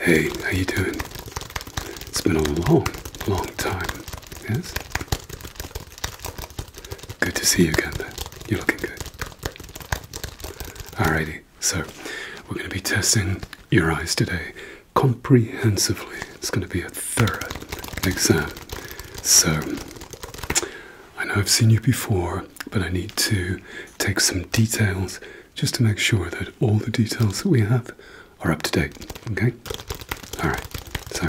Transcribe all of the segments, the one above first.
Hey, how you doing? It's been a long, long time. Yes? Good to see you again, man. You're looking good. Alrighty, so we're going to be testing your eyes today comprehensively. It's going to be a thorough exam. So, I know I've seen you before, but I need to take some details just to make sure that all the details that we have are up to date. Okay? Alright, so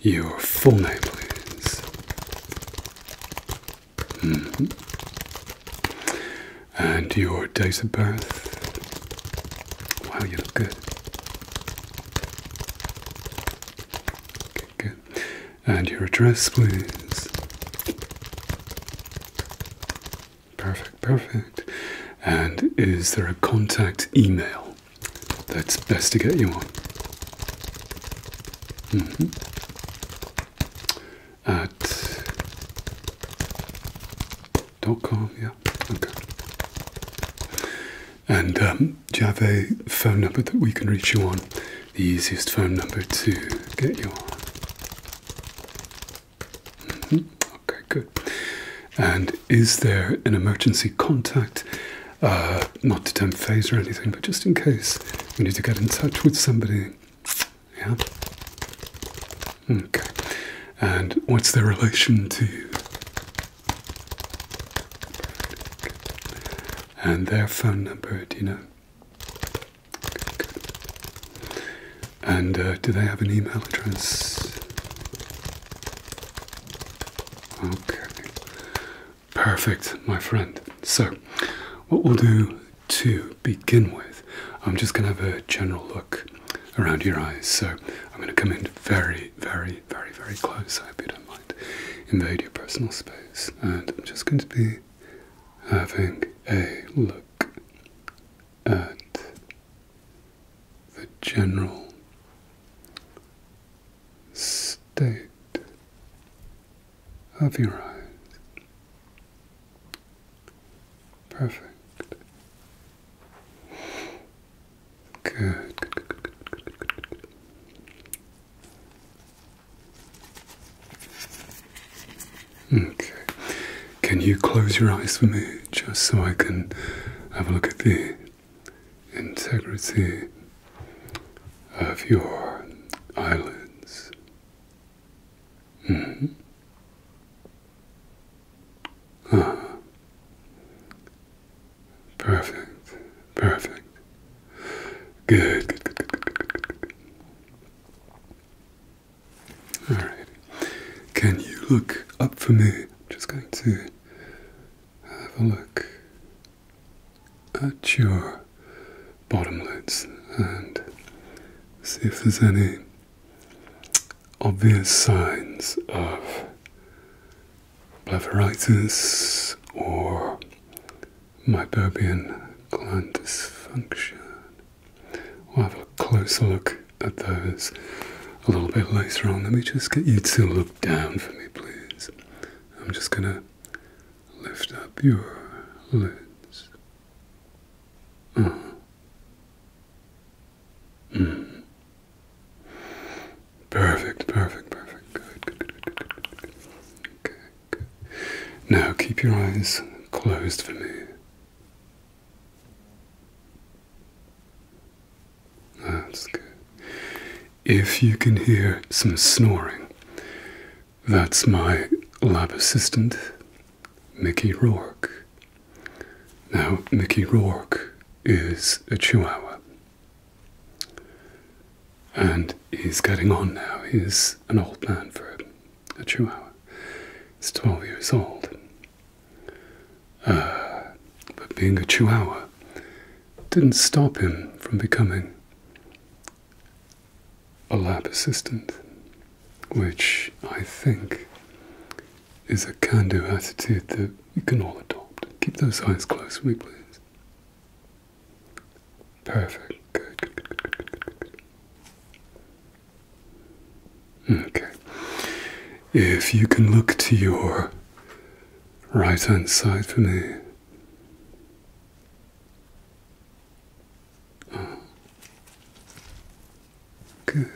your full name, please. Mm-hmm. And your date of birth. Wow, you look good. Okay, good. And your address, please. Perfect, perfect. And is there a contact email that's best to get you on? Mm -hmm. At dot com, yeah. Okay. And um, do you have a phone number that we can reach you on? The easiest phone number to get you on. Hmm, okay, good. And is there an emergency contact? Uh, not to tempt phase or anything, but just in case we need to get in touch with somebody. Yeah. Okay. And what's their relation to you? And their phone number, do you know? And uh, do they have an email address? Okay. Perfect, my friend. So, what we'll do to begin with, I'm just going to have a general look around your eyes. So, I'm going to come in very, very, very, very close. I hope you don't mind. Invade your personal space. And I'm just going to be having a look at the general state of your eyes. Perfect. good. Okay. Can you close your eyes for me just so I can have a look at the integrity of your eyelids? Hmm. Ah. Perfect. Perfect. good. All right. Can you look up for me? I'm just going to have a look at your bottom lids and see if there's any obvious signs of blepharitis or meibomian gland dysfunction. We'll have a closer look at those a little bit later on. Let me just get you to look down for me, please. I'm just going to lift up your lids. Oh. Mm. Perfect, perfect, perfect. good, good, good, good, good. Okay, good. Now keep your eyes closed for me. That's good. If you can hear some snoring, that's my lab assistant, Mickey Rourke. Now, Mickey Rourke is a chihuahua. And he's getting on now. He's an old man for a, a chihuahua. He's 12 years old. Uh, but being a chihuahua didn't stop him from becoming a lab assistant, which I think is a can do attitude that we can all adopt. Keep those eyes closed for me, please. Perfect. good. Okay. If you can look to your right hand side for me. Oh. good.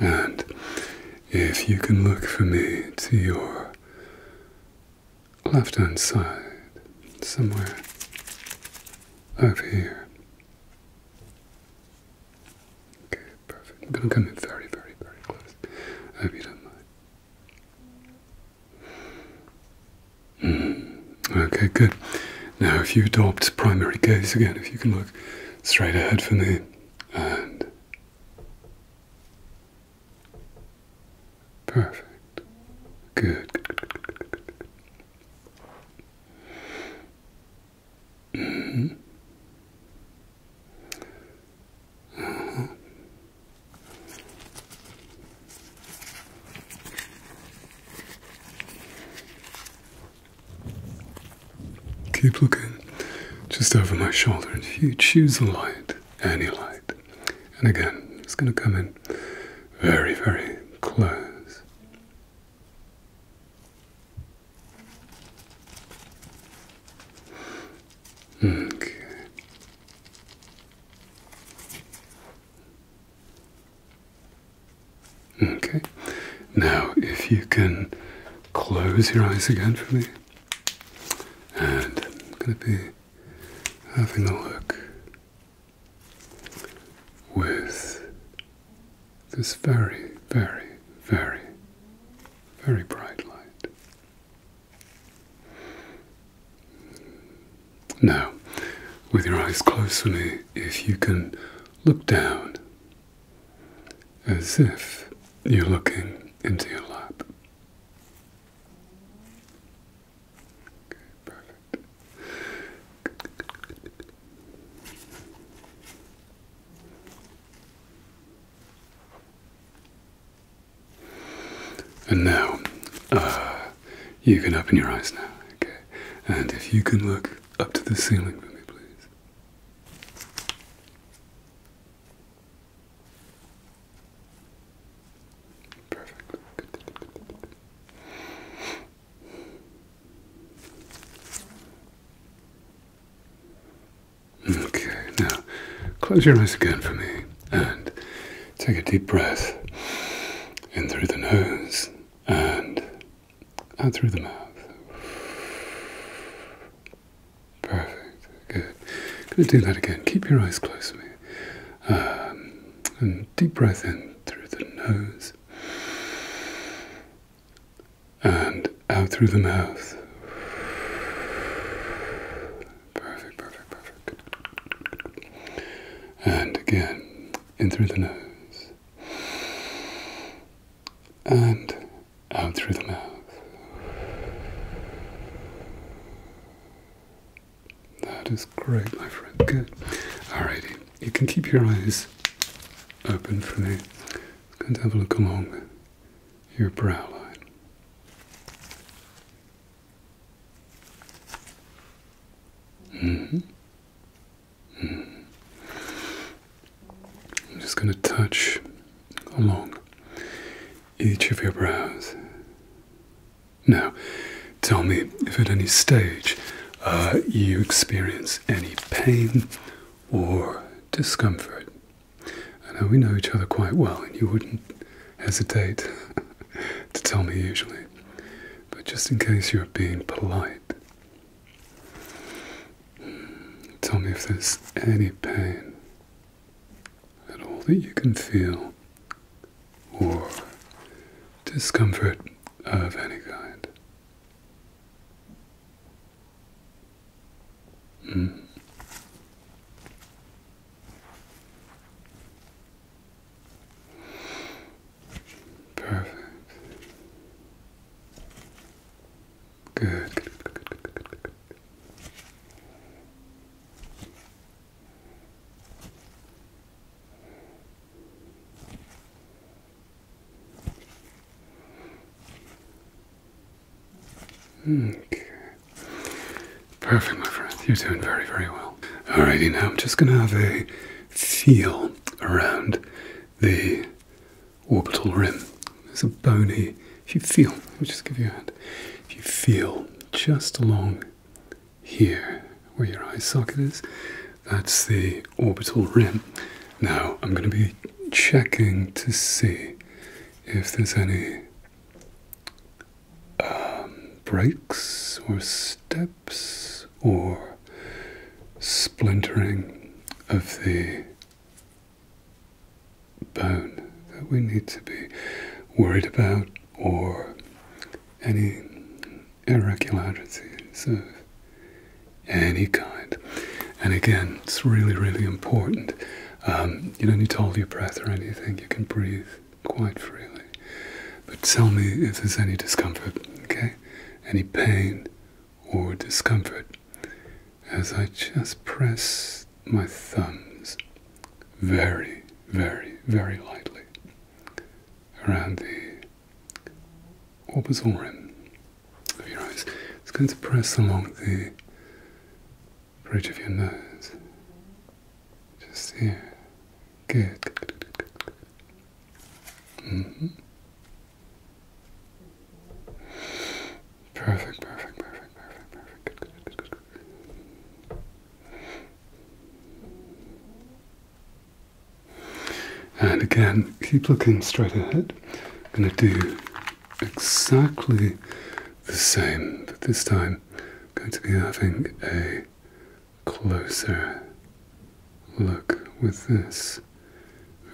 And if you can look for me to your left hand side, somewhere over here. Okay, perfect. I'm going to come in very, very, very close. I hope you don't mind. Hmm. Okay, good. Now, if you adopt primary gaze again, if you can look straight ahead for me and Perfect. Good. hmm. Uh Keep looking just over my shoulder If you choose a light, any light. And again, it's going to come in very, very close. Okay. Okay. Now, if you can close your eyes again for me, and I'm going to be having a look with this very, very, very, very bright light. Now, with your eyes closed for if you can look down as if you're looking into your lap. Okay, perfect. And now, uh, you can open your eyes now, okay? And if you can look up to the ceiling for me, please. Perfect. Okay, now close your eyes again for me and take a deep breath in through the nose and out through the mouth. Perfect, good. Gonna do that again. Keep your eyes closed, to and deep breath in through the nose and out through the mouth. Perfect, perfect, perfect. And again, in through the nose and out through the mouth. That is great, my friend. Good. Alrighty. You can keep your eyes open for me. It's going to have a look along your brow line. Mm -hmm. -hmm. I'm just going to touch along each of your brows. Now, tell me if at any stage uh, you experience any pain or discomfort. I we know each other quite well, and you wouldn't hesitate to tell me usually, but just in case you're being polite, hmm, tell me if there's any pain at all that you can feel or discomfort of any kind. Hmm. Perfect. good. Perfect, my friend. You're doing very, very well. Alrighty, now I'm just going to have a feel around the orbital rim. There's a bony, if you feel, let me just give you a hand. If you feel just along here where your eye socket is. That's the orbital rim. Now I'm going to be checking to see if there's any um, breaks or steps or splintering of the bone that we need to be worried about or any irregularities of any kind. And again, it's really, really important. Um, you don't need to hold your breath or anything, you can breathe quite freely. But tell me if there's any discomfort, okay? Any pain or discomfort as I just press my thumbs very, very, very lightly around the orbital rim of your eyes. It's going to press along the bridge of your nose. Just here. Good. Mm -hmm. Perfect, perfect, perfect, perfect, perfect. Good, good, good, good, good. And again, keep looking straight ahead. I'm going to do exactly the same, but this time going to be having a closer look with this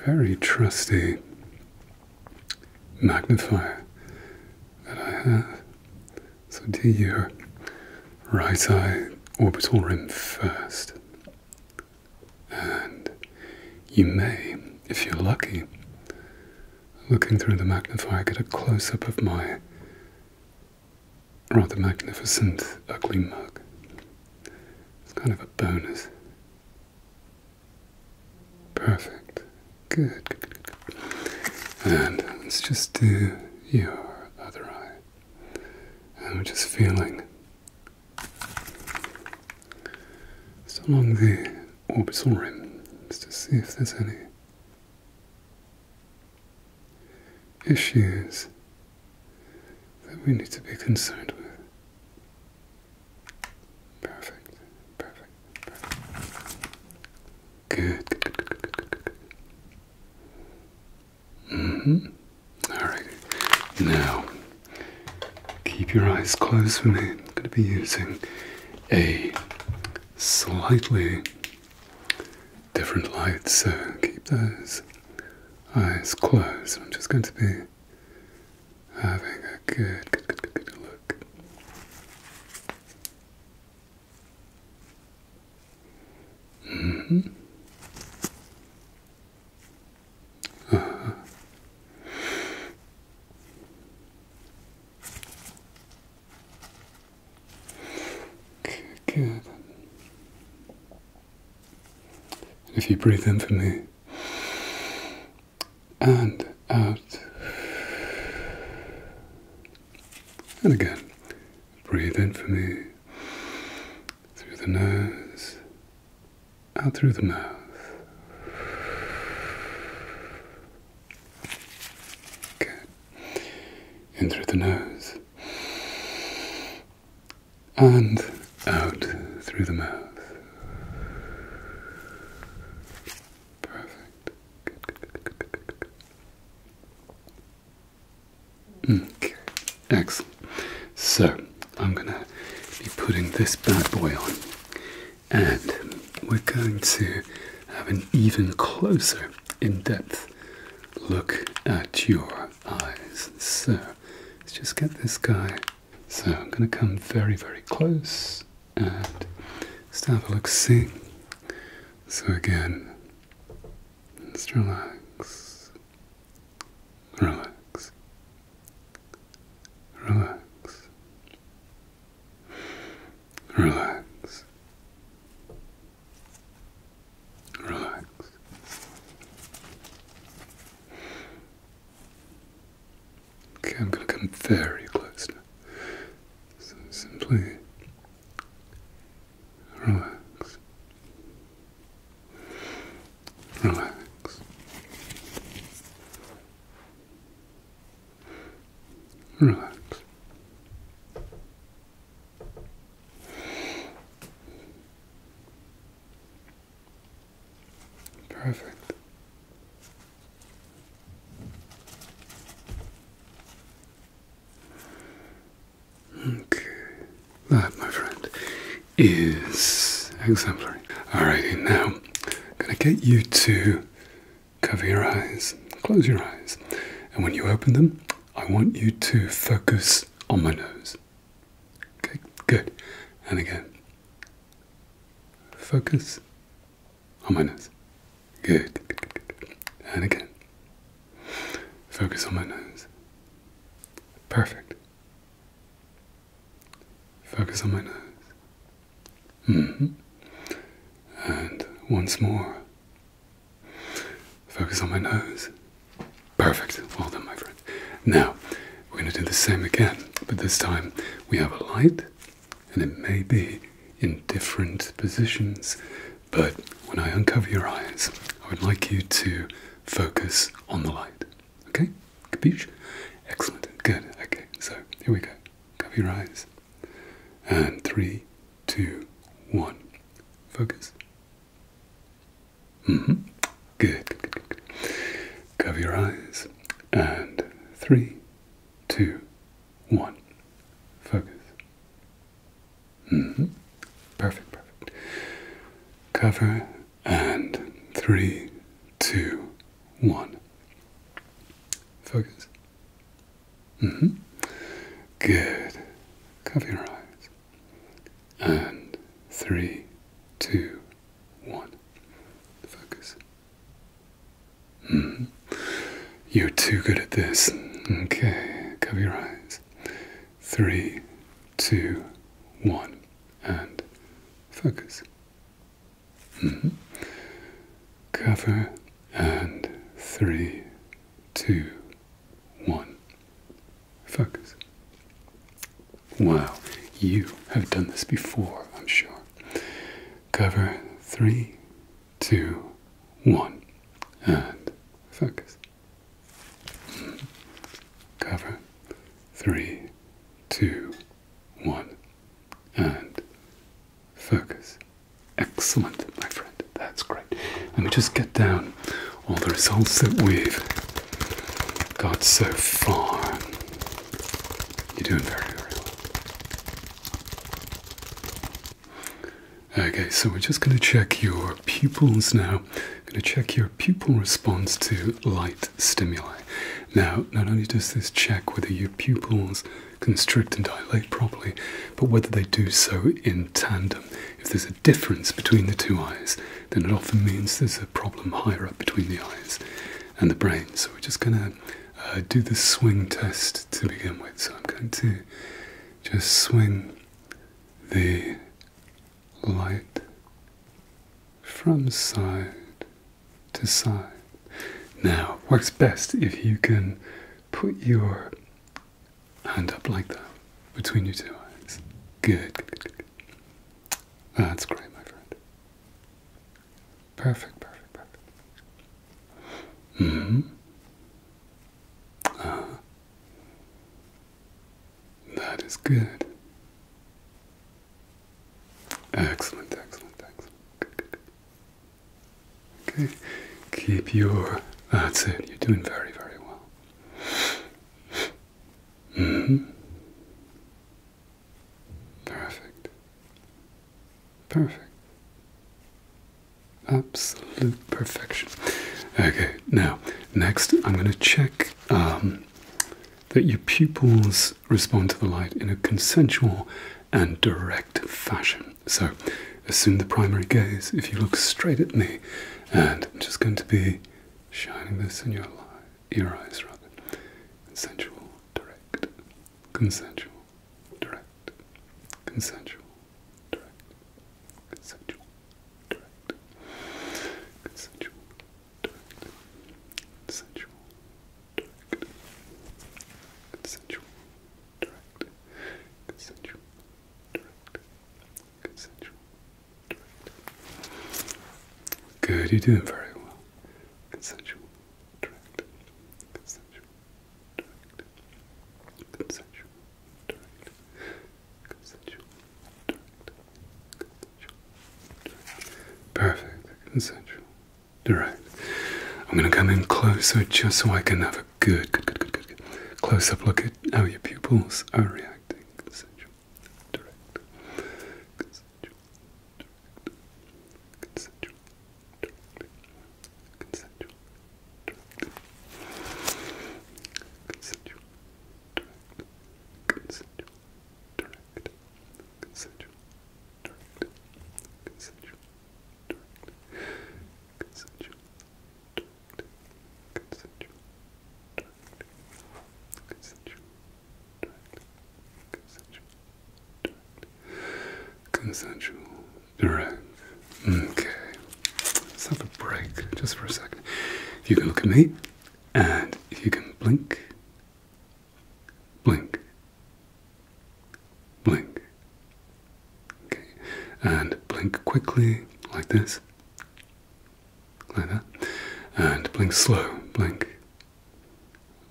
very trusty magnifier that I have. So do your right eye orbital rim first. And you may, if you're lucky, looking through the magnifier, get a close up of my rather magnificent ugly mug. It's kind of a bonus. Perfect. Good, good, and let's just do your other eye. And we're just feeling just along the orbital rim, just to see if there's any issues that we need to be concerned with. Perfect, perfect, perfect. Good, hmm Alright. Now, keep your eyes closed for me. I'm going to be using a slightly different light, so keep those eyes closed. I'm just going to be having a good look. Mm -hmm. uh good. And if you breathe in for me and out and again Breathe in for me through the nose, out through the mouth. Good. In through the nose, and out through the mouth. Perfect. Good, good, good, good, good, good. Okay, excellent. So I'm gonna be putting this bad boy on, and we're going to have an even closer, in depth look at your eyes. So let's just get this guy. So I'm gonna come very, very close and just have a look see. So again, just relax, relax, relax, relax, relax. Okay, I'm going to come very close now. So simply Relax. Relax. Relax. Perfect that, my friend, is exemplary. Alrighty, now I'm gonna get you to cover your eyes, close your eyes, and when you open them, I want you to focus on my nose. Okay, good. And again, focus on my nose. Good, And again. Focus on my nose. Perfect. Focus on my nose. Mm-hmm. And once more. Focus on my nose. Perfect. Well done, my friend. Now, we're going to do the same again, but this time we have a light, and it may be in different positions but when I uncover your eyes, I would like you to focus on the light. Okay? Capiche? Excellent. Good. Okay, so here we go. Cover your eyes. And three, two, one. Focus. hmm. good, good, good. Cover your eyes. And three, two, one. Focus. Mm-hmm. Perfect, perfect. Cover and three, two, one. Focus. -hmm. Good. Cover your eyes. And three, two, one. Focus. -hmm. You're too good at this. Okay, cover your eyes. Three, two, one, and focus. Mm -hmm. Cover and three, two, one, focus. Wow, you have done this before, I'm sure. Cover three, two, one, and focus. Cover. Three, two, one, and focus. Excellent, my friend. That's great. Let me just get down all the results that we've got so far. You're doing very, very well. Okay, so we're just going to check your pupils now. I'm going to check your pupil response to light stimuli. Now, not only does this check whether your pupils constrict and dilate properly, but whether they do so in tandem. If there's a difference between the two eyes, then it often means there's a problem higher up between the eyes and the brain. So we're just going to uh, do the swing test to begin with. So I'm going to just swing the light from side to side. Now, works best if you can put your hand up like that between your two eyes. Good, That's great, my friend. Perfect, perfect, perfect. hmm. Uh, that is good. Excellent, excellent, excellent. Good, good, good. Okay, keep your. That's it. You're doing very, very well. Mm hmm. Perfect. Perfect absolute perfection. Okay, now next I'm going to check um, that your pupils respond to the light in a consensual and direct fashion. So assume the primary gaze if you look straight at me, and I'm just going to be shining this in your eye, your eyes rather. Consensual, direct, consensual, direct consensual, direct, consensual, direct, consensual, direct, consensual, direct, consensual, direct, consensual, direct, consensual, direct. Good, you're doing very well. Consensual, direct, consensual, Perfect, consensual, I'm gonna come in closer just so I can have a good, good, good, good, good, close up look at how your pupils are reacting. Consensual, directly. Consensual, direct, consensual, direct, consensual, consensual, consensual, consensual, consensual, consensual, consensual, Alright. Okay. Let's have a break just for a second. If you can look at me and if you can blink, blink, blink. Okay. And blink quickly, like this. Like that. And blink slow, blink,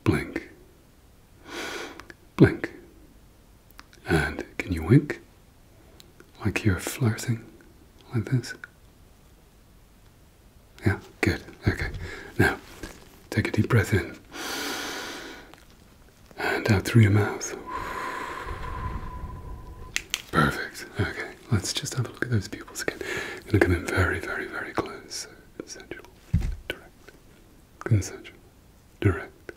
blink, blink, and can you wink? Like you're flirting? Like this? Yeah, good. Okay. Now, take a deep breath in and out through your mouth. Perfect. Okay, let's just have a look at those pupils again. I'm going to come in very, very, very close. consensual, direct, consensual, direct,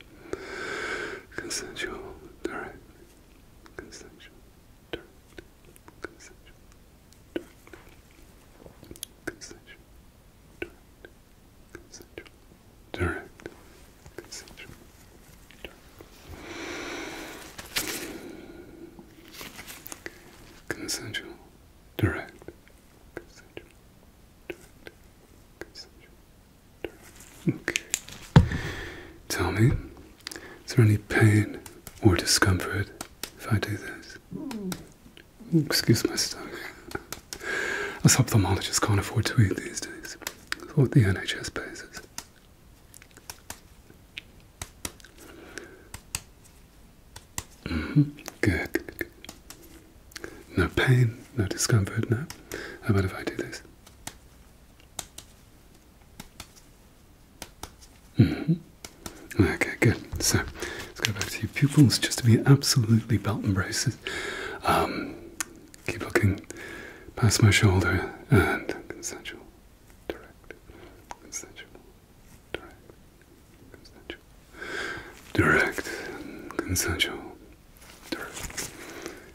consensual, direct, consensual, direct, consensual, direct, consensual, direct, consensual, direct, consensual, direct, consensual, direct, consensual, Okay. Tell me, is there any pain or discomfort if I do this? excuse my stomach. Us ophthalmologists can't afford to eat these days. That's what the NHS pays us. Mm-hmm. good. No pain, no discomfort, no. How about if I do this? Mm-hmm. Okay, good. So let's go back to your pupils just to be absolutely belt and braces. Um, keep looking past my shoulder and consensual, direct, consensual, direct, consensual, direct, consensual, direct,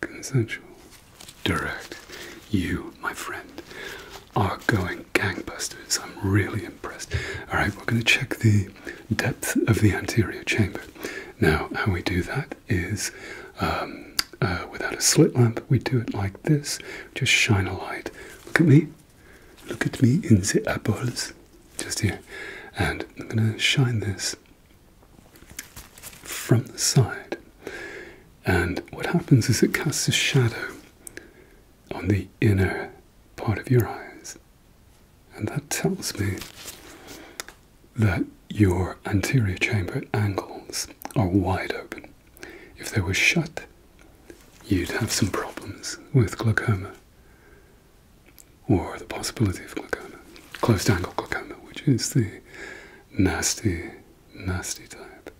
Consensual. Direct. You, my friend, are going gangbusters. I'm really impressed. All right, we're going to check the depth of the anterior chamber. Now, how we do that is um, uh, without a slit lamp, we do it like this. Just shine a light. Look at me. Look at me in the eyeballs. Just here. And I'm going to shine this from the side. And what happens is it casts a shadow on the inner part of your eyes. And that tells me that your anterior chamber angles are wide open. If they were shut, you'd have some problems with glaucoma or the possibility of glaucoma, closed angle glaucoma, which is the nasty, nasty type.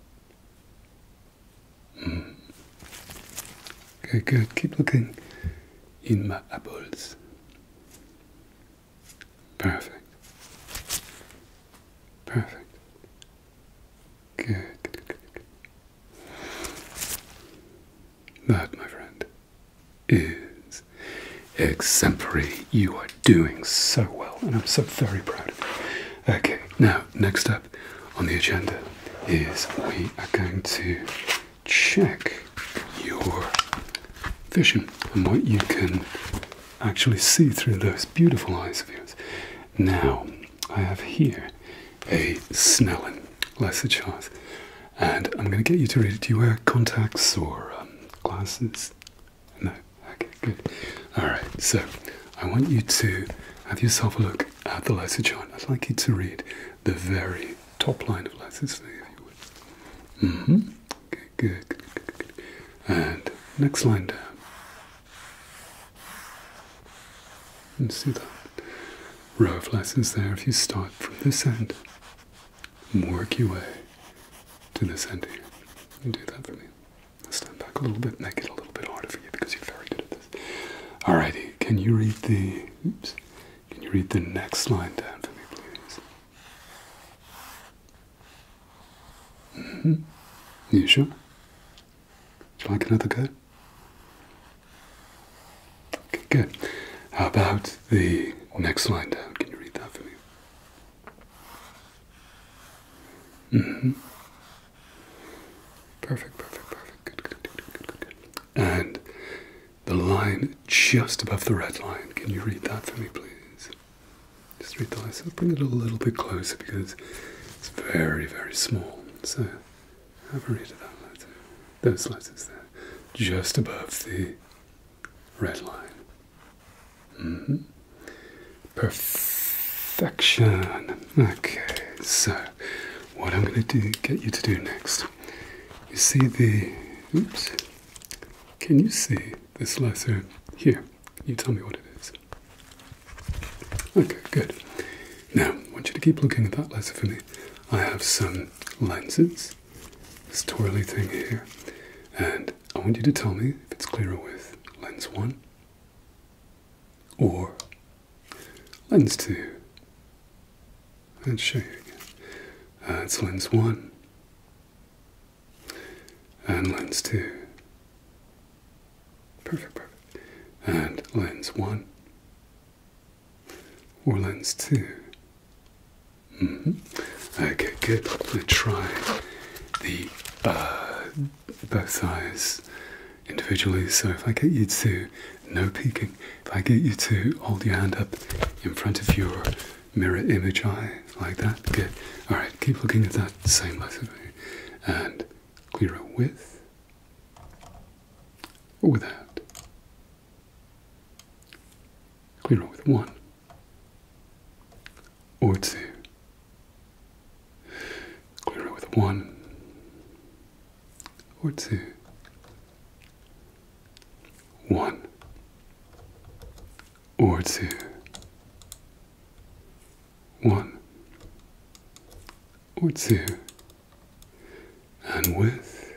Mm. Okay, good. Keep looking in my eyeballs. Perfect. Perfect. Good, good, my friend, is exemplary. You are doing so well, and I'm so very proud of you. Okay, now, next up on the agenda is we are going to check your vision and what you can actually see through those beautiful eyes of yours. Now, I have here a Snellen Lesser Chart and I'm going to get you to read it. Do you wear contacts or um, glasses? No. Okay, good. All right. So I want you to have yourself a look at the lesson chart. I'd like you to read the very top line of Lysis if you would. Mm hmm Okay, good, good, good, good. And next line down. And see that row of lessons there if you start from this end work your way to the center. You do that for me. Stand back a little bit, make it a little bit harder for you because you're very good at this. Alrighty, can you read the oops? Can you read the next line down for me, please? -hmm. You sure? like another good? Okay, good. How about the next line down? Can you read that for me? Mm-hmm. Perfect, perfect, perfect. Good, good, good, good, good, And the line just above the red line. Can you read that for me, please? Just read the line. So bring it a little bit closer because it's very, very small. So have a read of that letter. Those letters there. Just above the red line. -hmm. Perfection. Okay, so what I'm going to do, get you to do next. You see the. Oops. Can you see the slicer here? you tell me what it is? Okay, good. Now, I want you to keep looking at that letter for me. I have some lenses this, twirly thing here. And I want you to tell me if it's clearer with lens 1 or lens 2. Let's show you again. That's lens 1 and lens 2. Perfect, perfect. And lens 1 or lens two. Mm-hmm. Okay, good. Let's try the uh, both eyes individually. So if I get you to no peeking, if I get you to hold your hand up in front of your mirror image eye like that, good. All right, keep looking at that same letter and clear it with or without clear it with one or two. Clear it with one or two. One or two. One or two and with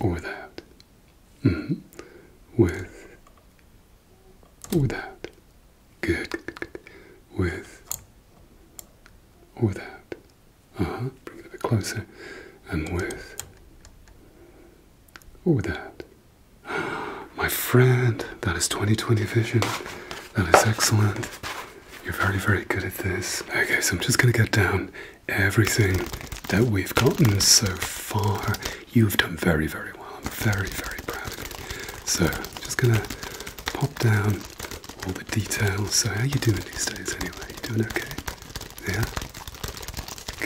or without. -hmm. With or without. Good, good. With or without. Uh huh. Bring it a bit closer. And with or without. My friend, that is 2020 vision. That is excellent. You're very, very good at this. Okay, so I'm just gonna get down everything that we've gotten so far. You've done very, very well. I'm very, very proud of you. So, just gonna pop down all the details. So, how you doing these days anyway? You doing okay? Yeah?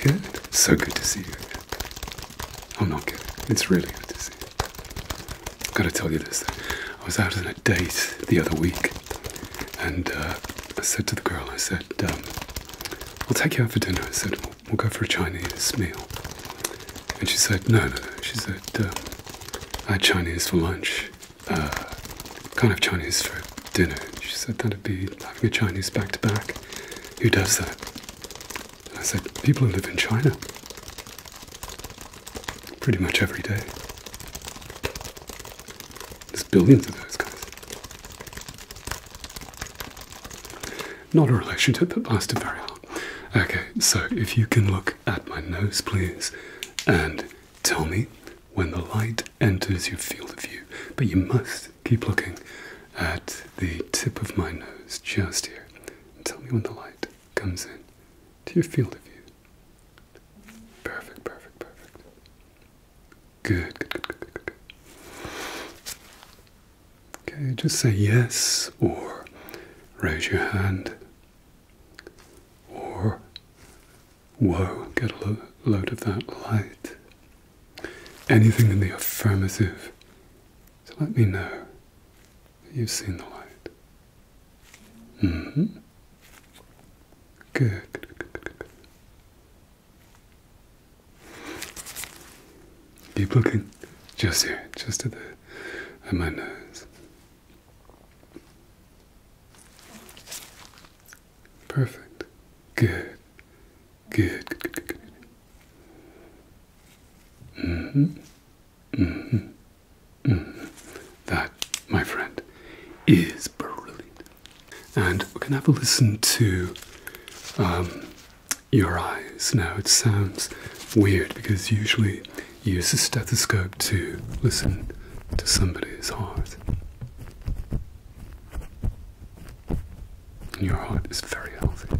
Good. So good to see you again. I'm not good. It's really good to see you. I've got to tell you this. Though. I was out on a date the other week and uh, I said to the girl, I said, um, we'll take you out for dinner. I said, we'll, go for a Chinese meal. And she said, no, no, no. She said, um, I had Chinese for lunch. Uh, kind of Chinese for dinner. She said, that'd be having a Chinese back to back. Who does that? I said, people who live in China. Pretty much every day billions of those guys. Not a relationship that lasted very long. Okay, so if you can look at my nose, please, and tell me when the light enters your field of view. But you must keep looking at the tip of my nose just here. And tell me when the light comes in to your field of view. Perfect, perfect, perfect. Good, Okay, just say yes or raise your hand or whoa, get a load of that light. Anything in the affirmative. So let me know that you've seen the light. Mm hmm. good, good, good, good. Keep looking. Just here, just at the at my nose. Perfect. Good. Good. Good. Good. Good. good. Mm hmm. Mm hmm. Mm hmm. That, my friend, is brilliant. And we can have a listen to um, your eyes. Now, it sounds weird because usually you use a stethoscope to listen to somebody's heart. your heart is very healthy.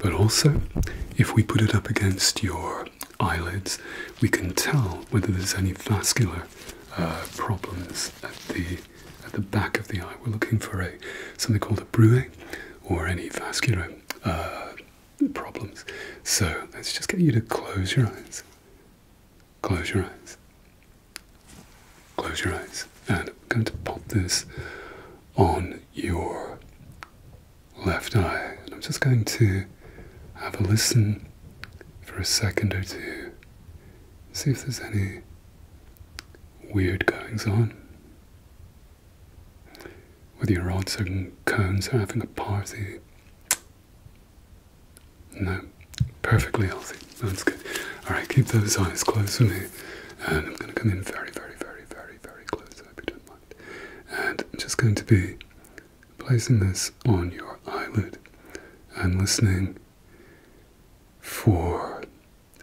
But also, if we put it up against your eyelids, we can tell whether there's any vascular uh, problems at the at the back of the eye. We're looking for a something called a bruise or any vascular uh, problems. So let's just get you to close your eyes. Close your eyes. Close your eyes. And I'm going to pop this on your left eye. And I'm just going to have a listen for a second or two see if there's any weird goings on. Whether your odds and cones are having a party. No, perfectly healthy. That's good. Alright, keep those eyes closed for me. And I'm going to come in very, very, very, very, very close. I hope you don't mind. And I'm just going to be placing this on your eyelid and listening for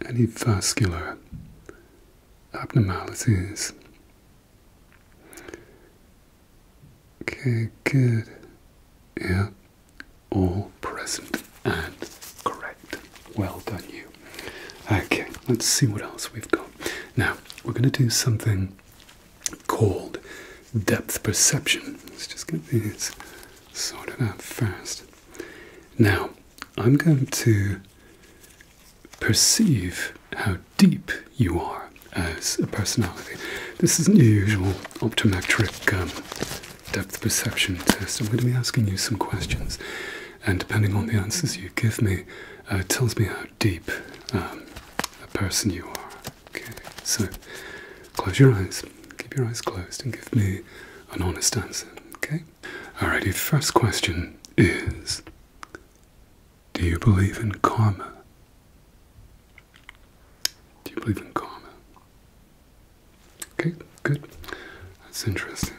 any vascular abnormalities. Okay, good. Yeah, all present and correct. Well done, you. Okay, let's see what else we've got. Now, we're going to do something called depth perception. Let's just get these sorted out first. Now, I'm going to perceive how deep you are as a personality. This isn't your usual optometric um, depth perception test. I'm going to be asking you some questions, and depending on the answers you give me, it uh, tells me how deep um, a person you are. Okay, so close your eyes, keep your eyes closed, and give me an honest answer. Okay? All righty. first question is Do you believe in karma? Do you believe in karma? Okay, good. That's interesting.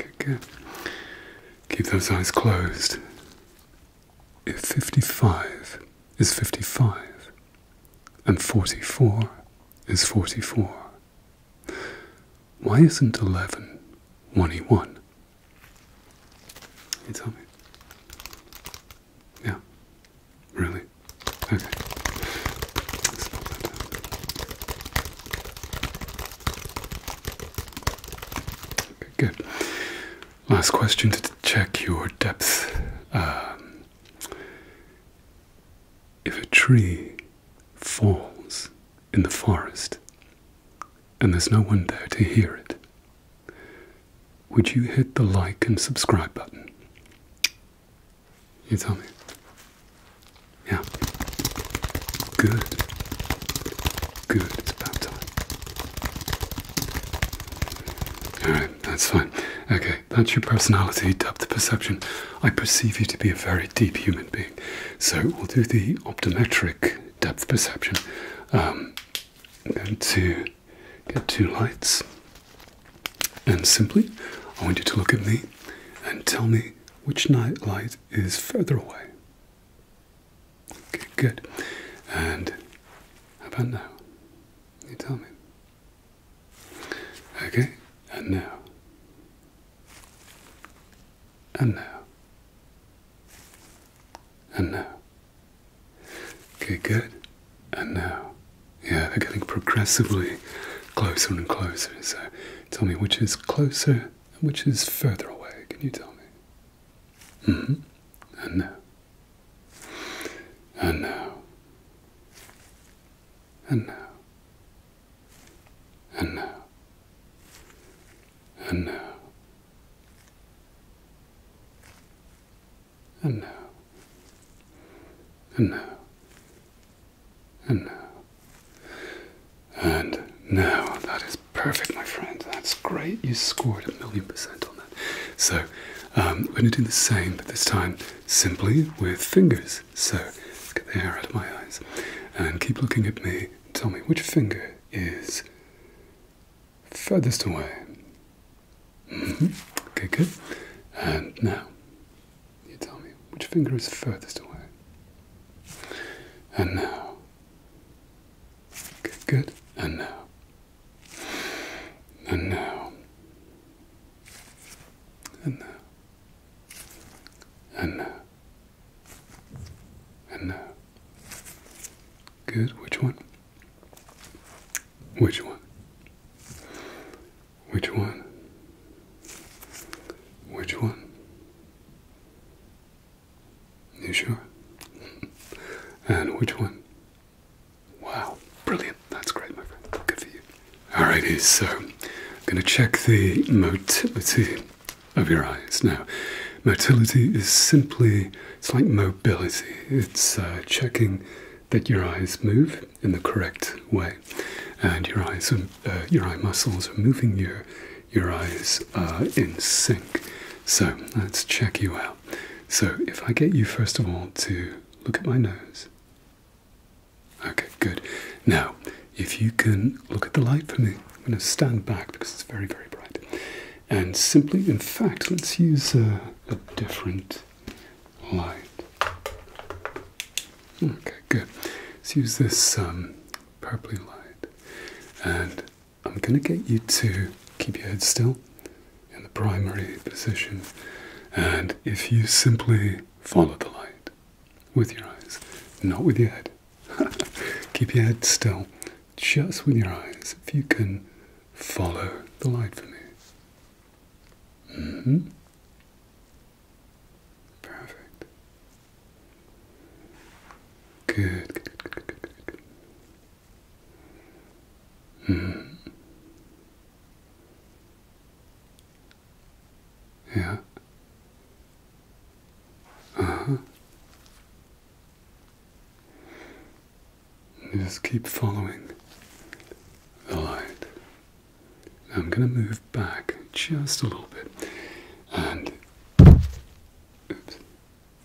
Okay, good. Keep those eyes closed. If 55 is 55 and 44 is 44, why isn't 11 one You tell me. Yeah. Really? Okay. Okay, good. Last question to check your depth. Um, if a tree falls in the forest and there's no one there to hear it, would you hit the like and subscribe button? You tell me. Yeah. Good. Good, it's about time. Alright, that's fine. Okay, that's your personality, depth perception. I perceive you to be a very deep human being. So we'll do the optometric depth perception. Um, I'm going to get two lights. And simply, I want you to look at me and tell me which night light is further away. Okay, good. And how about now? You tell me. Okay, and now. And now. And now. Okay, good. And now. Yeah, they're getting progressively closer and closer. So tell me which is closer and which is further away. Can you tell me? Mm hmm. I know. I know. I know. I know. I know. I know. I know. And now that is perfect, my friend. That's great. You scored a million percent on that. So um, we're going to do the same, but this time simply with fingers. So get the air out of my eyes and keep looking at me. Tell me which finger is furthest away. Mm-hmm. Okay, good. And now you tell me which finger is furthest away. And now Good, good. And now. And now. And now. And now. And now. Good. Which one? Which one? Which one? Which one? You sure? and which one? Wow, brilliant. That's great, my friend. Good for you. Alrighty, so I'm going to check the motility of your eyes now. Motility is simply, it's like mobility. It's uh, checking that your eyes move in the correct way and your eyes, uh, your eye muscles are moving your, your eyes in sync. So let's check you out. So if I get you first of all to look at my nose. Okay, good. Now, if you can look at the light for me, I'm going to stand back because it's very, very bright. And simply, in fact, let's use a, different light. Okay, good. Let's use this um, purpley light. And I'm going to get you to keep your head still in the primary position, and if you simply follow the light with your eyes, not with your head, keep your head still just with your eyes if you can follow the light for me. Mm-hmm. Perfect. Good, good, mm-hmm. Yeah. Uh-huh. Just keep following the light. I'm going to move back just a little bit and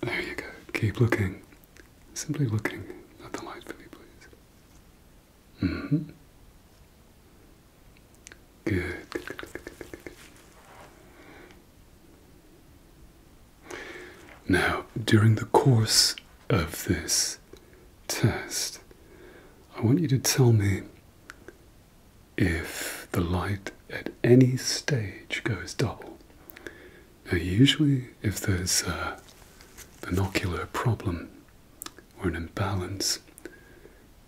there you go. Keep looking. Simply looking at the light for me, please. hmm. good. Now, during the course of this test, I want you to tell me if the light at any stage goes double. Now, usually, if there's a binocular problem or an imbalance,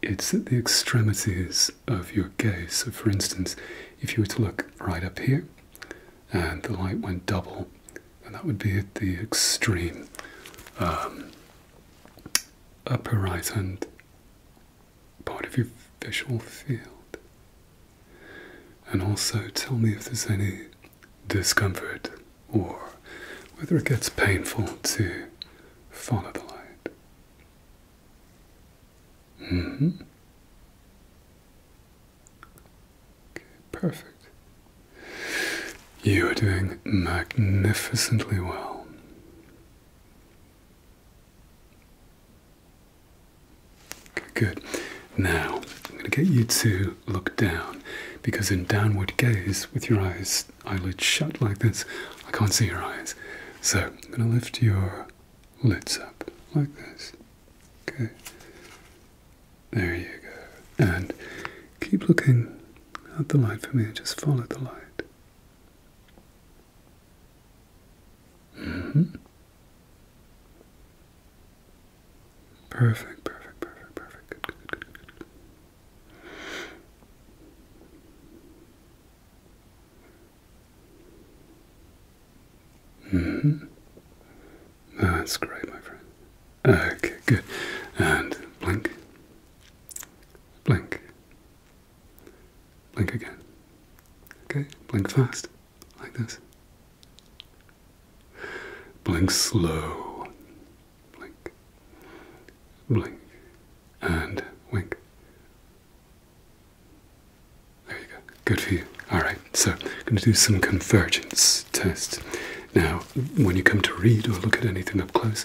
it's at the extremities of your gaze. So, for instance, if you were to look right up here and the light went double, and that would be at the extreme um, upper right hand part of your visual field. And also tell me if there's any discomfort or whether it gets painful to follow the light. Mm hmm. perfect. You are doing magnificently well. Good. Now, I'm going to get you to look down because in downward gaze with your eyes eyelids shut like this, I can't see your eyes. So, I'm going to lift your lids up like this. Okay. There you go. And keep looking at the light for me just follow the light. Mm -hmm. Perfect, perfect, perfect, perfect. Good, good, good, good, good. Mm -hmm. That's great, my friend. Okay, good. And blink, blink, Blink again. Okay, blink fast, like this. Blink slow. Blink. Blink. And wink. There you go. Good for you. Alright, so I'm going to do some convergence test. Now, when you come to read or look at anything up close,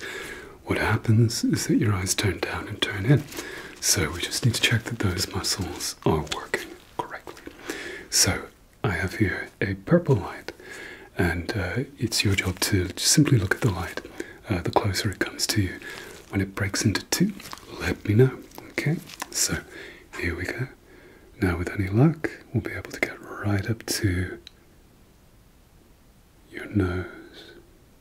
what happens is that your eyes turn down and turn in. So we just need to check that those muscles are working correctly. So I have here a purple light, and uh, it's your job to simply look at the light. Uh, the closer it comes to you, when it breaks into two, let me know. Okay, so here we go. Now, with any luck, we'll be able to get right up to your nose.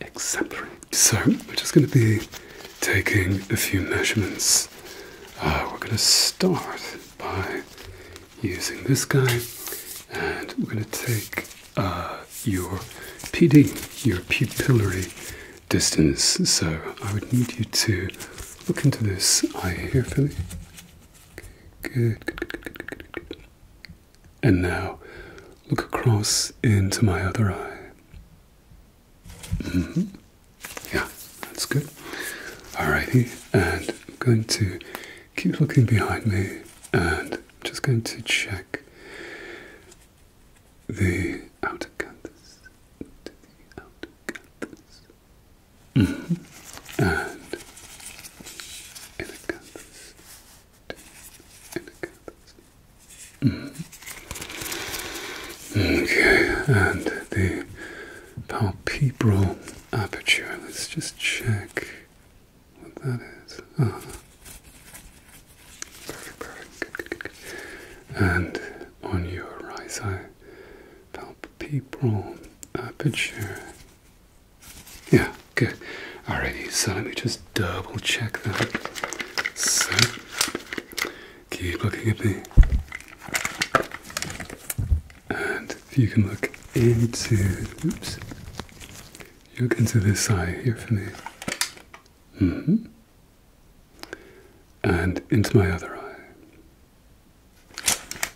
exemplary. So we're just going to be taking a few measurements. Uh, we're going to start by using this guy and we're going to take uh, your PD, your pupillary distance. So I would need you to look into this eye here for good. And now look across into my other eye. Mm-hmm. Yeah, that's good. Alrighty, and I'm going to keep looking behind me and I'm just going to check the outer canthus. the mm-hmm. outer canthus. And inner canthus. To inner canthus. Okay, and the palpebral aperture. Let's just check what that is. Ah. Perfect, perfect. And on your right eye, palpebral aperture. Yeah, good. Alrighty, so let me just double check that. keep looking at me. And if you can look into look into this eye here for me. Mm-hmm. And into my other eye.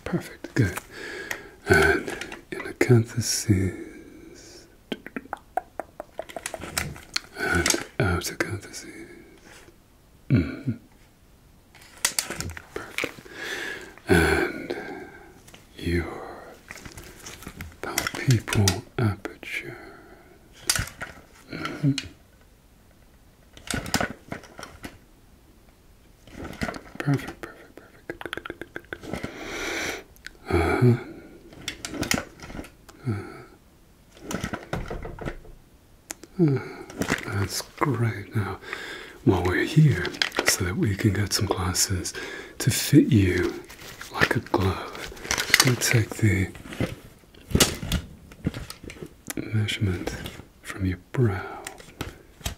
Perfect, good. And in acanthuses and ah, out ah, of parentheses. Mm -hmm. Perfect. And your palpebral aperture. Mm Perfect, perfect, perfect. Uh huh. Uh -huh. Hmm, that's great. Now, while we're here, so that we can get some glasses to fit you like a glove, I'm take the measurement from your brow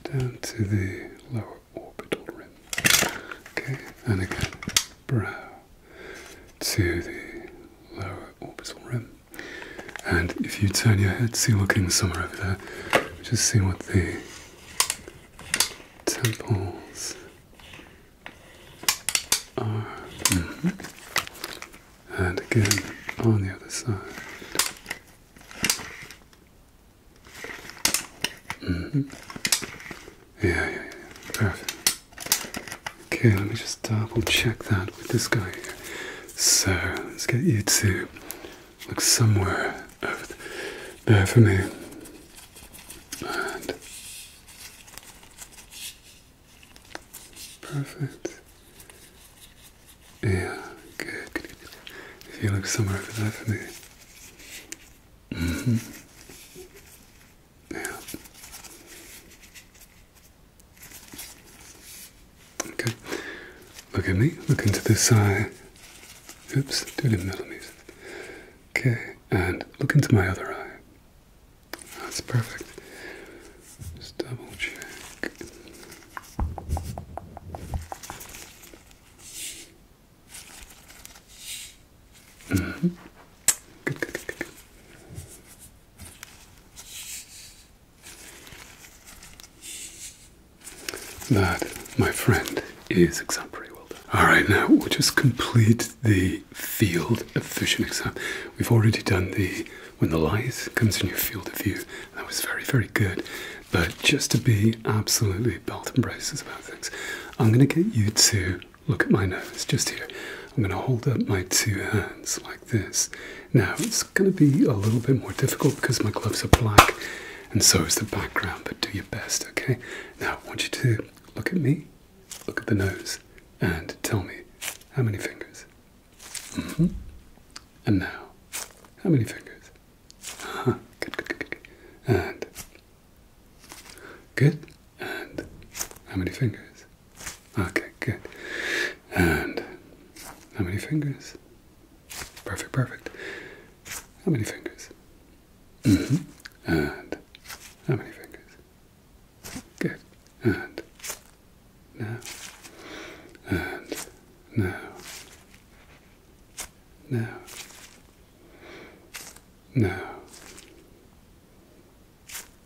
down to the lower orbital rim. Okay, and again, brow to the lower orbital rim. And if you turn your head, see looking somewhere over there, just see what the temples are. Mm-hmm. And again on the other side. Mm-hmm. Yeah, yeah, Perfect. Okay, let me just double check that with this guy So, let's get you to look somewhere over there for me. And perfect. Yeah, good, If you look somewhere over there for me. Mm-hmm. Yeah. Okay. Look at me. Look into this eye. Oops, do it in millimeters. Okay, and look into my other eye. That's perfect. Just double check. -hmm. Good, good, good, good. That, my friend, is exam pretty well All right, now we'll just complete the field of vision exam. We've already done the when the light comes in your field of view. That was very, very good. But just to be absolutely belt and braces about things, I'm going to get you to look at my nose just here. I'm going to hold up my two hands like this. Now it's going to be a little bit more difficult because my gloves are black and so is the background, but do your best, okay? Now I want you to look at me, look at the nose, and tell me how many fingers. Mm-hmm. And now, how many fingers? Uh-huh. Good, good, good, good. And good. And how many fingers? Okay, good. And how many fingers? Perfect, perfect. How many fingers? Mm-hmm. And how many fingers? Good. And now. And now. Now. Now.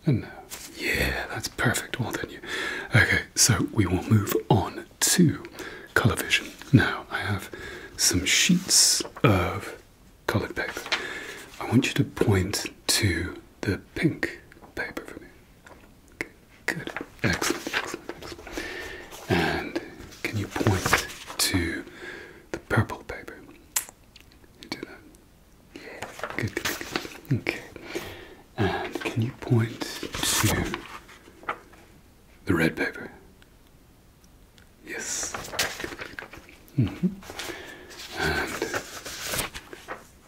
And now, yeah, that's perfect. Well done, you. Okay, so we will move on to colour vision. Now, I have some sheets of coloured paper. I want you to point to the pink paper for me. good. Excellent, excellent, excellent. And can you point to the purple paper? You do that. Good, good, Okay. And can you point to the red paper? Yes. -hmm. And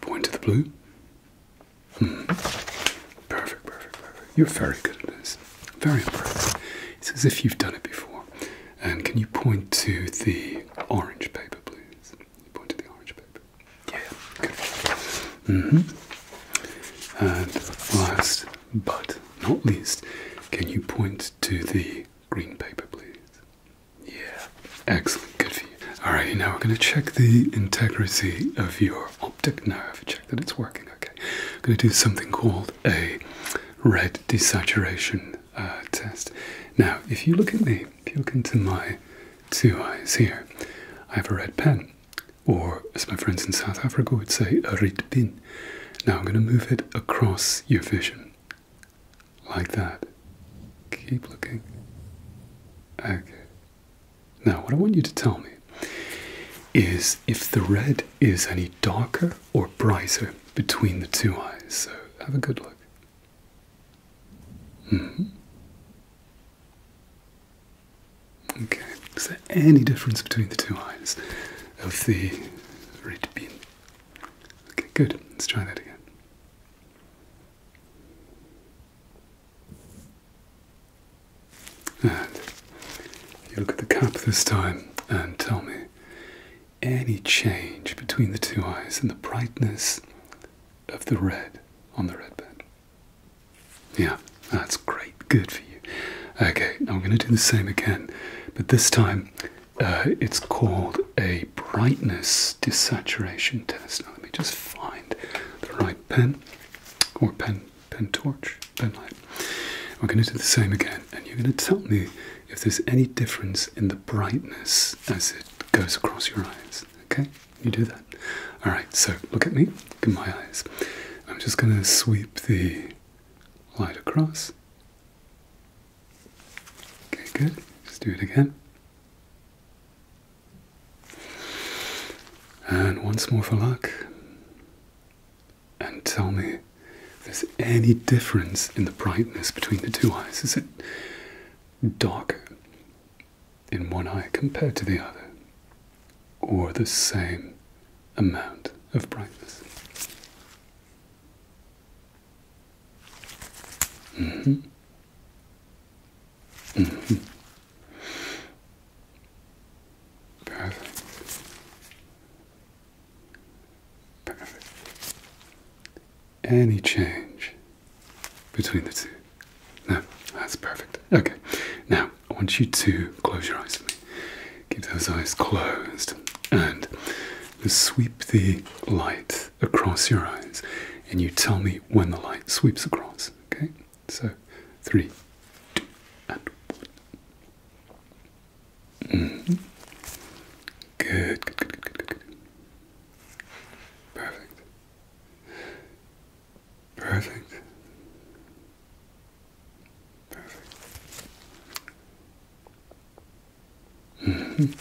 point to the blue. Mm-hmm. Perfect, perfect, perfect. You're very good at this. Very impressive. It's as if you've done it before. And can you point to the orange paper, please? You point to the orange paper. Yeah, Mm-hmm. And last but not least, can you point to the green paper, please? Yeah. Excellent. Good for you. All right. Now we're going to check the integrity of your optic nerve. Check that it's working. Okay. I'm going to do something called a red desaturation uh, test. Now, if you look at me, if you look into my two eyes here, I have a red pen, or as my friends in South Africa would say, a red pin. Now I'm going to move it across your vision, like that. Keep looking. Okay. Now, what I want you to tell me is if the red is any darker or brighter between the two eyes. So have a good look. Mm-hmm. Okay, is there any difference between the two eyes of the red bean? Okay, good. Let's try that again. And you look at the cap this time and tell me any change between the two eyes and the brightness of the red on the red bed. Yeah, that's great. Good for you. Okay, now I'm going to do the same again, but this time uh, it's called a brightness desaturation test. Now let me just find the right pen or pen pen torch, pen light. I'm going to do the same again, and you're going to tell me if there's any difference in the brightness as it goes across your eyes. Okay? You do that. Alright, so look at me. Look at my eyes. I'm just going to sweep the light across. Okay, good. Let's do it again. And once more for luck. And tell me there's any difference in the brightness between the two eyes. Is it darker in one eye compared to the other, or the same amount of brightness. Mm-hmm. Mm-hmm. Perfect. Perfect any change between the two. No, that's perfect. Okay, now I want you to close your eyes for me. Keep those eyes closed and just sweep the light across your eyes and you tell me when the light sweeps across. Okay, so three, two, and one. Mm-hmm. good. Perfect. Perfect. Perfect. -hmm.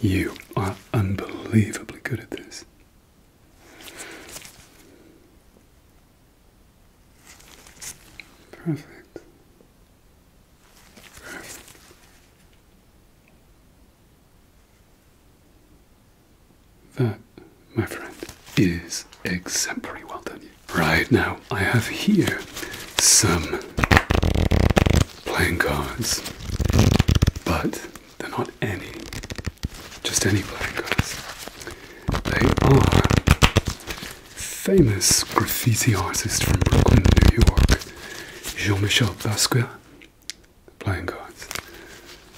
You are unbelievably good at this. Perfect. That, my friend, is exemplary. Well done, Right now, I have here some playing cards, but they're not any, just any playing cards. They are famous graffiti artist from Brooklyn, New York, Jean-Michel Basquiat, playing cards.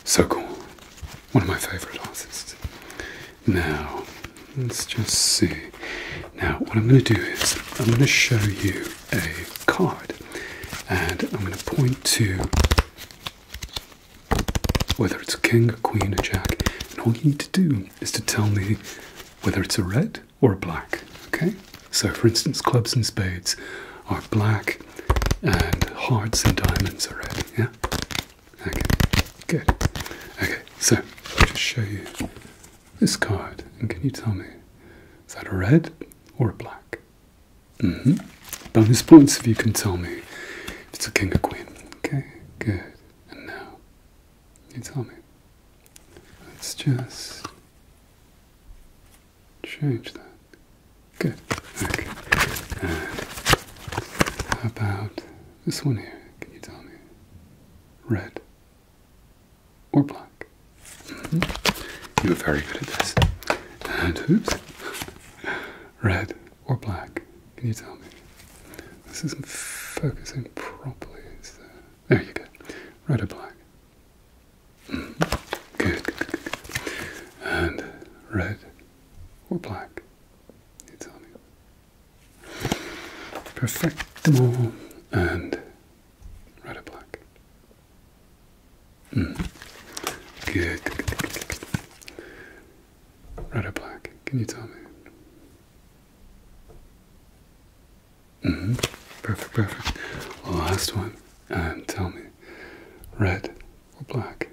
So cool. One of my favorite artists. Now, let's just see. Now, what I'm going to do is I'm going to show you a card and I'm going to point to whether it's a king, a queen, a jack, and all you need to do is to tell me whether it's a red white or black. Okay, so for instance, clubs and spades are black, and hearts and diamonds are red. Yeah. Okay. Good. Okay, so I'll just show you this card, and can you tell me is that a red or a black? Mm-hmm. Bonus points if you can tell me it's a king or queen. Okay. Good. And now, can you tell me Let's just change that. Good. Okay. And how about this one here? Can you tell me? Red or black? Mm-hmm. You're very good at this. And oops. Red or black? Can you tell me? This isn't focusing properly. Is there? There you go. Red or black? Mm-hmm. good, And red or black? You tell me. Perfectable and red or black? Mm. good. Red or black? Can you tell me? Mm-hmm. Perfect, perfect. Last one. And uh, tell me, red or black?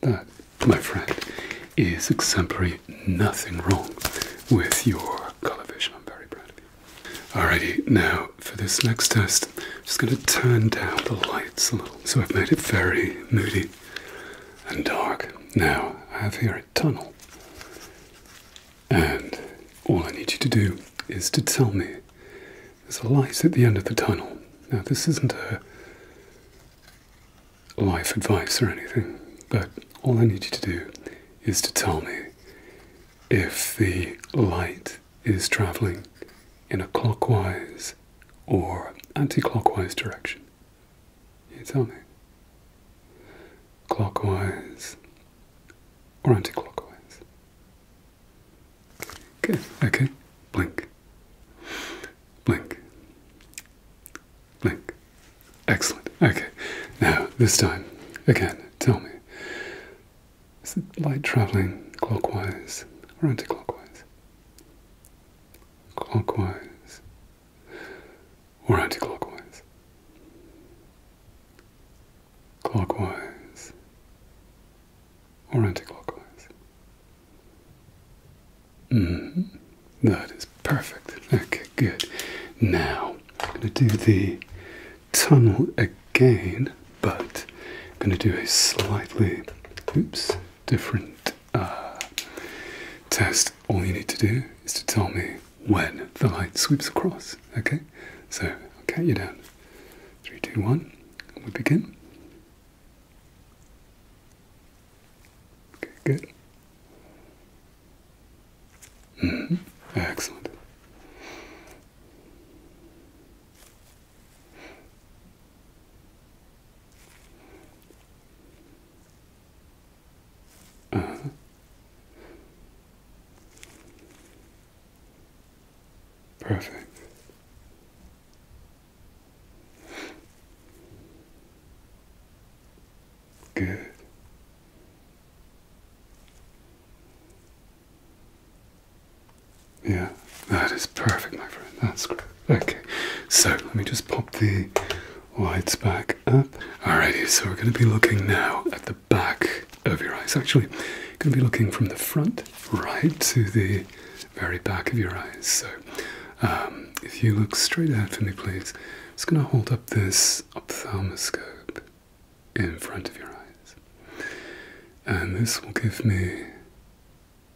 That, my friend, is exemplary. Nothing wrong with your color vision. I'm very proud of you. Alrighty, now for this next test, I'm just going to turn down the lights a little. So I've made it very moody and dark. Now I have here a tunnel, and all I need you to do is to tell me there's a light at the end of the tunnel. Now, this isn't a life advice or anything, but all I need you to do is to tell me if the light is traveling in a clockwise or anti clockwise direction. You tell me. Clockwise or anti clockwise? Okay. okay. Blink. Blink. Blink. Excellent. Okay. Now, this time, again, tell me. Is the light travelling clockwise or anti clockwise? Clockwise or anti-clockwise. Clockwise or anti-clockwise. Mm, that is perfect. Okay, good. Now I'm going to do the tunnel again, but I'm going to do a slightly, oops, different uh, test, all you need to do is to tell me when the light sweeps across. Okay, so I'll count you down. Three, two, one. we begin. Okay, good. Mm-hmm. Excellent. Uh-huh. Perfect. Good. Yeah, that is perfect, my friend. That's great. Okay, so let me just pop the Whites back up. Alrighty, so we're going to be looking now at the back of your eyes. Actually, we're going to be looking from the front right to the very back of your eyes. So, um, if you look straight ahead for me, please, I'm just going to hold up this ophthalmoscope in front of your eyes. And this will give me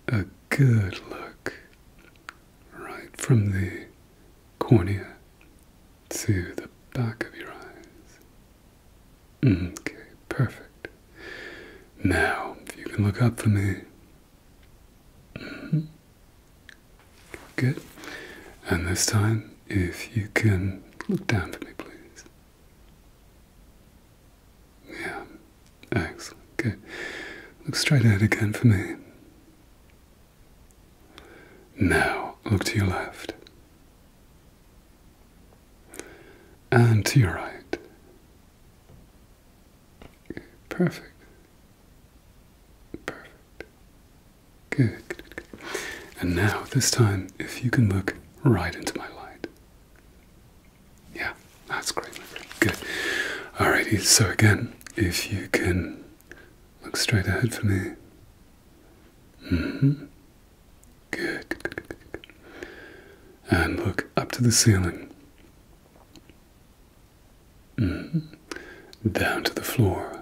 a good look right from the cornea to the back of your eyes. Okay, perfect. Now, if you can look up for me. Mm-hmm. Good. And this time, if you can look down for me, please. Yeah, excellent. Good. Look straight ahead again for me. Now look to your left and to your right. Perfect. Perfect. Good, good, good. And now, this time, if you can look right into my light. Yeah, that's great, my friend. Good. Alrighty, so again, if you can Look straight ahead for me. Mm-hmm. Good, And look up to the ceiling. Mm-hmm. Down to the floor.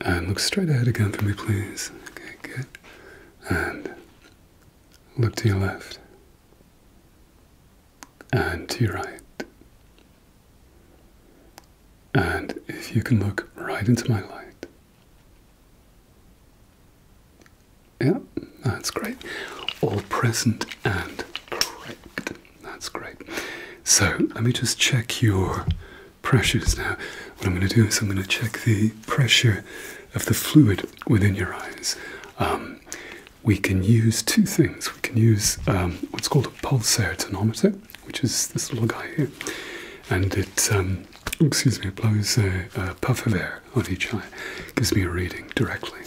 And look straight ahead again for me, please. Okay, good. And look to your left and to your right. And if you can look right into my light. Yeah, that's great. All present and correct. That's great. So let me just check your pressures now. What I'm going to do is I'm going to check the pressure of the fluid within your eyes. Um, we can use two things. We can use um, what's called a pulsar tonometer, which is this little guy here, and it um, excuse me, it blows a, puff of air on each eye, gives me a reading directly.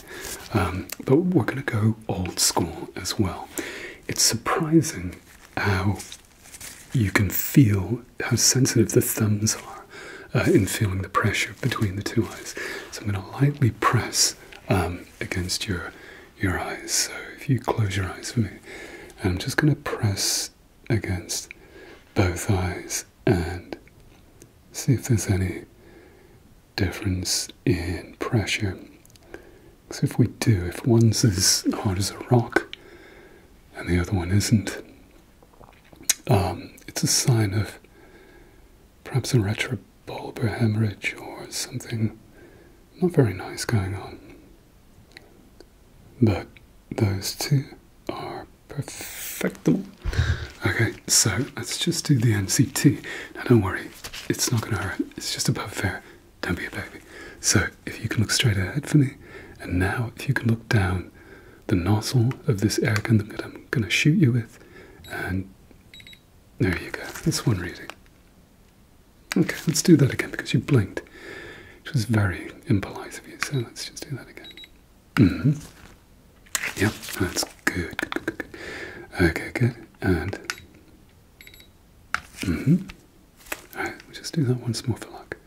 Um, but we're going to go old school as well. It's surprising how you can feel how sensitive the thumbs are uh, in feeling the pressure between the two eyes. So I'm going to lightly press um, against your your eyes. So if you close your eyes for me, and I'm just going to press against both eyes and see if there's any difference in pressure. Because if we do, if one's as hard as a rock and the other one isn't, um, it's a sign of perhaps a retrobulbar hemorrhage or something not very nice going on. But those two are perfectible. Okay, so let's just do the NCT. Now, don't worry, it's not going to hurt, it's just above there. Don't be a baby. So, if you can look straight ahead for me, and now if you can look down the nozzle of this air gun that I'm going to shoot you with, and there you go. That's one reading. Okay, let's do that again because you blinked, which was very impolite of you. So let's just do that again. Mm-hmm. Yep, that's good. Okay, good. And. Mm-hmm. Alright, we'll just do that once more for luck.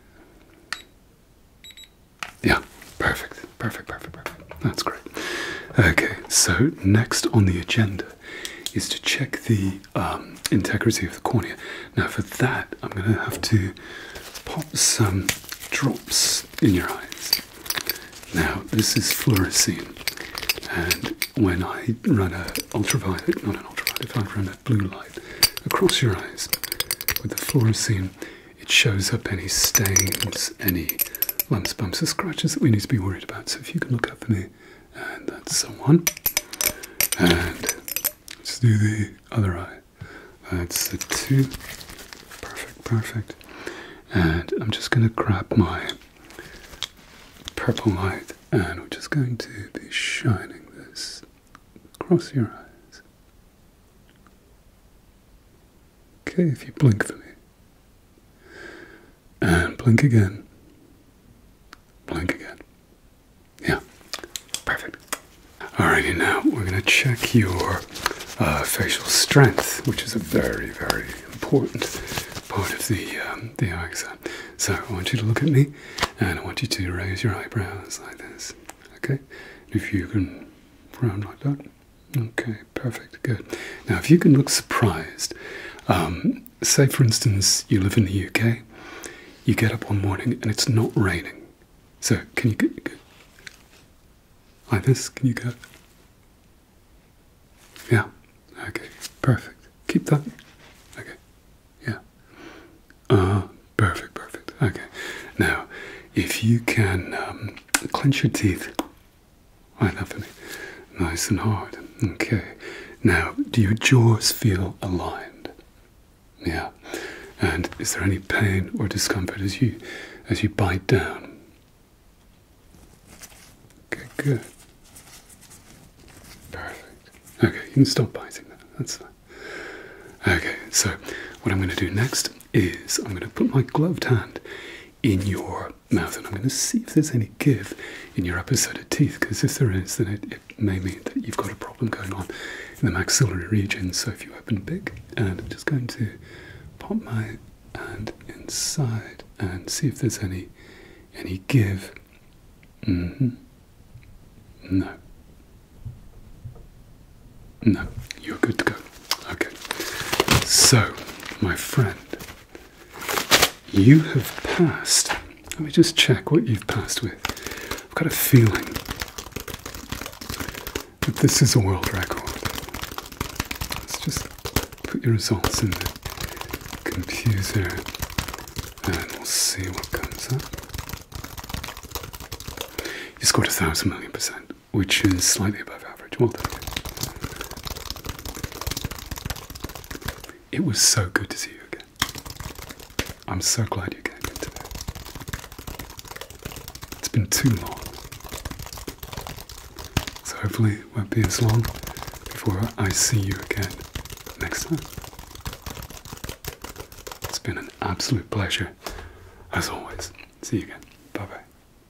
Yeah, perfect. Perfect, perfect, perfect. That's great. Okay, so next on the agenda is to check the um, integrity of the cornea. Now, for that, I'm going to have to pop some drops in your eyes. Now, this is fluorescein, and when I run an ultraviolet, not an ultraviolet, I run a blue light across your eyes with the fluorescein, it shows up any stains, any lumps, bumps, or scratches that we need to be worried about. So if you can look up for me, and that's someone. And let's do the other eye. That's the two. Perfect, perfect. And I'm just going to grab my purple light and we're just going to be shining this across your eyes. Okay, if you blink for me. And blink again. Blink again. Yeah, perfect. Alrighty, now we're going to check your uh, facial strength, which is a very, very important part of the, um, the eye exam. So I want you to look at me and I want you to raise your eyebrows like this. Okay? If you can frown like that. Okay, perfect, good. Now, if you can look surprised, um, say for instance, you live in the UK, you get up one morning and it's not raining. So, can you like this? Can you go? Yeah, okay, perfect. Keep that. Okay, yeah. Uh, perfect, perfect. Okay, now if you can um, clench your teeth Right up and nice and hard. Okay. Now, do your jaws feel aligned? Yeah. And is there any pain or discomfort as you as you bite down? Okay, good. Perfect. Okay, you can stop biting now. That's fine. Okay, so what I'm going to do next is I'm going to put my gloved hand in your mouth. And I'm going to see if there's any give in your upper set of teeth, because if there is, then it, may mean that you've got a problem going on in the maxillary region. So if you open big, and I'm just going to pop my hand inside and see if there's any any give. Mm -hmm. No. No, you're good to go. Okay. So, my friend, you have passed. Let me just check what you've passed with. I've got a feeling that this is a world record. Let's just put your results in the computer and we'll see what comes up. You scored a thousand million percent which is slightly above average. Well It was so good to see you again. I'm so glad you came in today. It's been too long. So hopefully it won't be as long before I see you again next time. It's been an absolute pleasure, as always. See you again. Bye bye.